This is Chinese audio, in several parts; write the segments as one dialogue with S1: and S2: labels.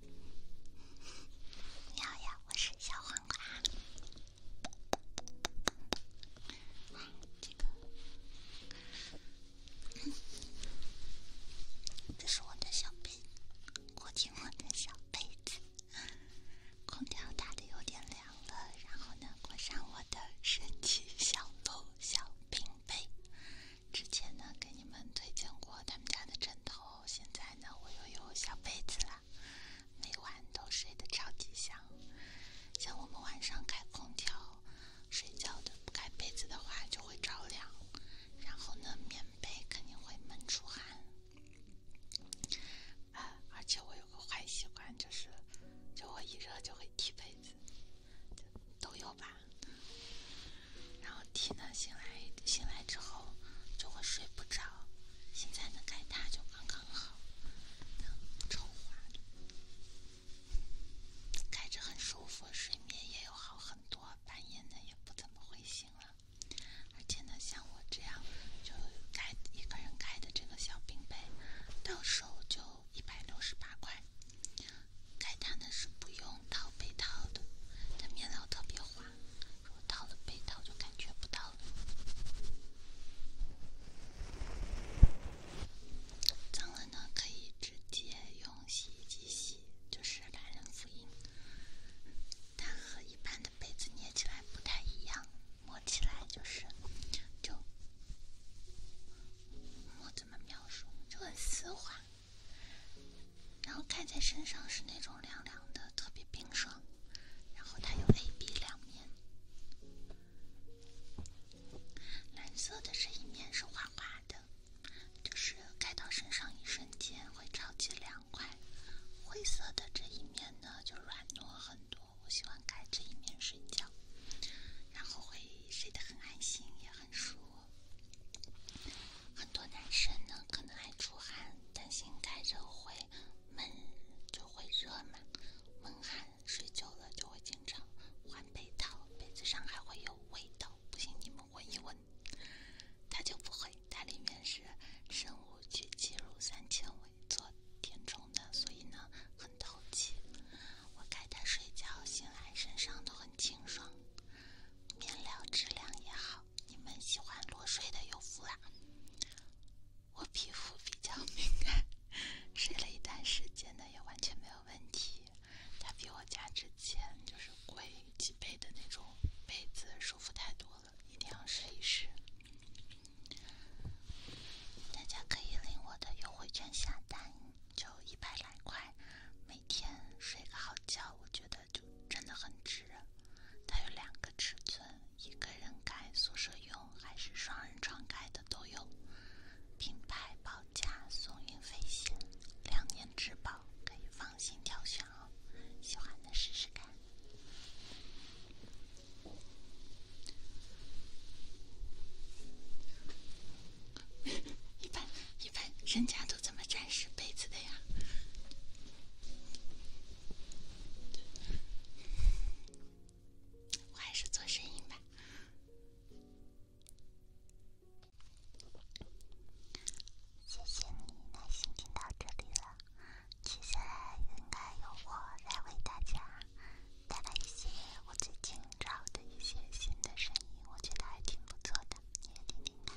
S1: 你好呀，我是小黄瓜。这是我的小被，裹紧我的小被子。空调打得有点凉了，然后呢，裹上我的神奇小笼小冰被。之前呢，给你们推荐过他们家的枕头，现在呢，我又有小被子了，每晚都睡得超级香。像我们晚上开空调睡觉的，不盖被子的话就会着凉，然后呢，棉被肯定会闷出汗。啊，而且我有个坏习惯，就是，就我一热就会踢被子，都有。吧，然后 T 呢，醒来醒来之后就会睡不着，现在呢开它就刚刚好。超划算，开着很舒服，睡眠也有好很多，半夜呢也不怎么会醒了。而且呢，像我这样就开一个人开的这个小冰杯，到手就一百六十八块。盖毯呢是不用套被套的，它面料特别滑，如果套了被套就感觉不到了。脏了呢可以直接用洗衣机洗，就是懒人福音。它和一般的被子捏起来不太一样，摸起来就是，就，我怎么描述？就很丝滑。然后盖在身上是那种凉凉的，特别冰爽。然后它有 A、B 两面，蓝色的这一面是滑滑的，就是盖到身上一瞬间会超级凉快。灰色的这一面呢，就软糯很多，我喜欢盖这一面睡觉，然后会睡得很安心，也很舒服。很多男生呢，可能爱出汗，担心盖着会闷，就会热嘛，闷汗，睡久了就会经常换被套，被子上还会有味道，不信你们闻一闻，它就不会，它里面是生物聚酯三纤维做填充的，所以呢很透气，我盖它睡觉，醒来身上都很清爽。面料质量也好，你们喜欢裸睡的有福啊！我皮肤比较敏感，睡了一段时间呢，也完全没有问题。它比我家之前就是贵几倍的那种被子舒服太多了，一定要试一试。大家可以领我的优惠券下单，就一百来块。每天睡个好觉，我觉得。就真的很值，它有两个尺寸，一个人盖、宿舍用还是双人床盖的都有。品牌保价、送运费险、两年质保，可以放心挑选哦。喜欢的试试看。一般。一般人家都怎么展示杯子的呀？我还是做声音吧。谢谢你耐心听到这里了。接下来应该由我来为大家带来一些我最近找的一些新的声音，我觉得还挺不错的，你也听听看。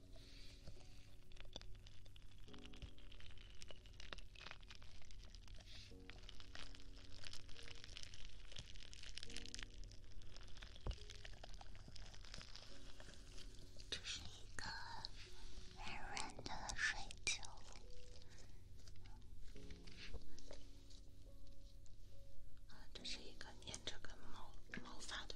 S1: 这是一个软软的水球。这是一个粘着个毛毛发的。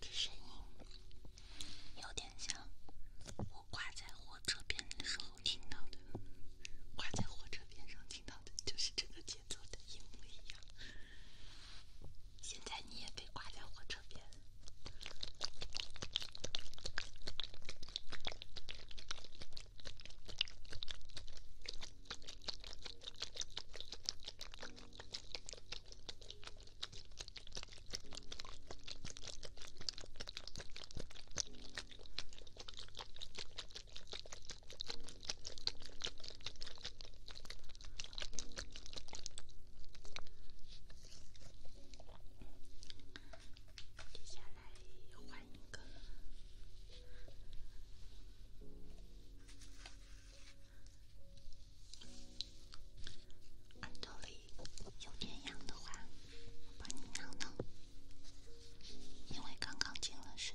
S1: 这声音有点像。挂在火车边的时候听到的，挂在火车边上听到的就是这个节奏的一模一样。现在你也被挂在火车边。接下来换一个，有点痒的话。我帮你挠挠，因为刚刚进了水。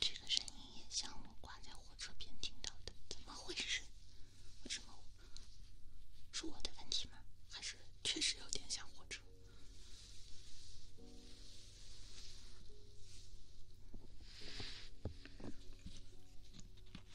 S1: 这个声音也像我挂在火车边听到的，怎么回事？为什么？是我的问题吗？还是确实有点像火车？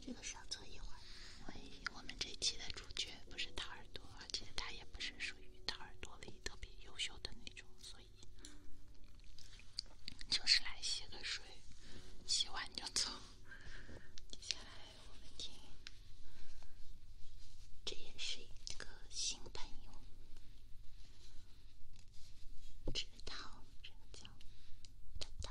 S1: 这个要坐一会儿。喂，我们这期的主角不是大耳朵，而且他也不是属于大耳朵里特别优秀的那种，所以就是来洗个水，洗完就走。接下来。我们听，这也是一个新朋友，知道这个叫“知道”。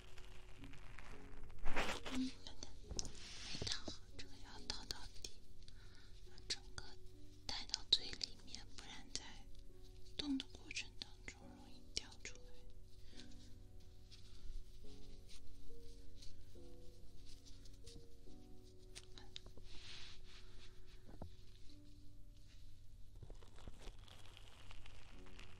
S1: 等等，没套好，这个要套到底，整个戴到最里面，不然在动的过程当中容易掉出来。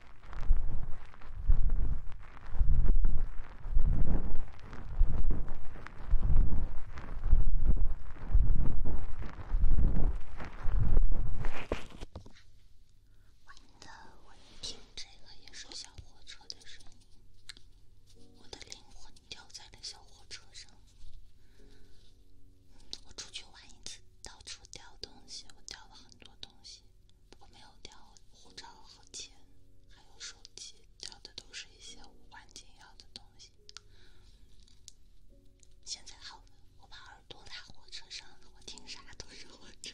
S1: 我听这个也是小火车的声音，我的灵魂掉在了小火车上。我出去玩一次，到处掉东西，我掉了很多东西。我没有掉护照和钱，还有手机，掉的都是一些无关紧要的东西。现在好我把耳朵拉火车上我听啥都是火车。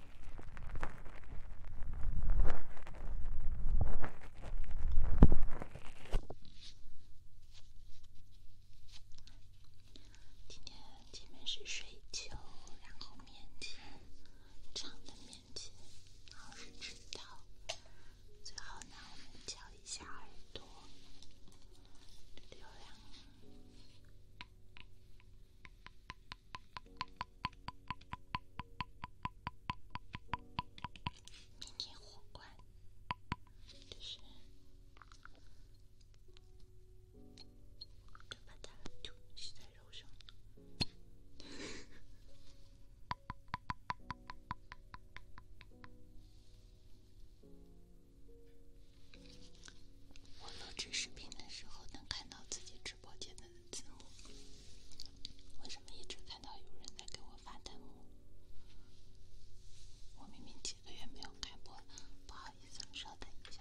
S1: 今天前面是水球，然后面前长的面前，然后是直刀。最后呢，我们敲一下耳朵，流量。迷你火罐，对是。我录制视频的时候能看到自己直播间的。字幕？为什么一直看到有人在给我发弹幕？我明明几个月没有开播，不好意思，稍等一下，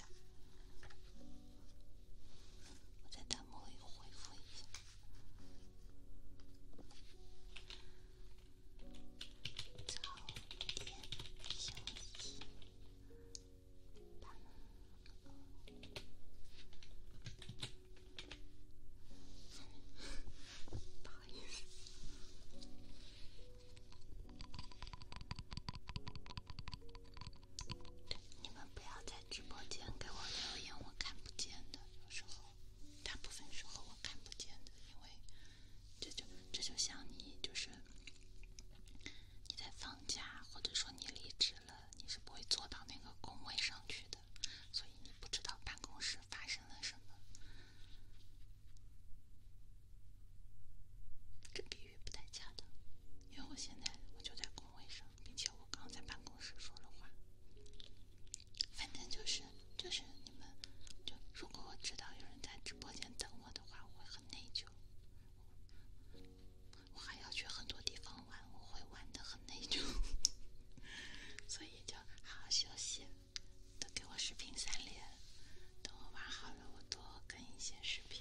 S1: 我在弹幕里回复一下。早点休息。不好意思，你们不要在直播间给我表演我看不见的。有时候，大部分时候我看不见的，因为这就这就像你就是你在放假，或者说你离职。了，你是不会坐到那个工位上去的，所以你不知道办公室发生了什么。这比喻不太恰当，因为我现在我就在工位上，并且我刚在办公室说了话。反正就是就是你们，就如果我知道有人在直播间等我的话，我会很内疚。我还要去很多地方玩，我会玩的很那种，所以就好好休息，都给我视频三连，等我玩好了，我多更一些视频。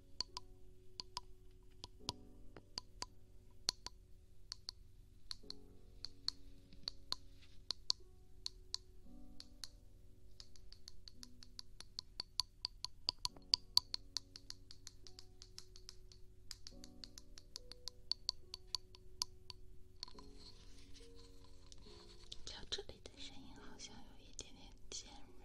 S1: 这里的声音好像有一点点尖锐。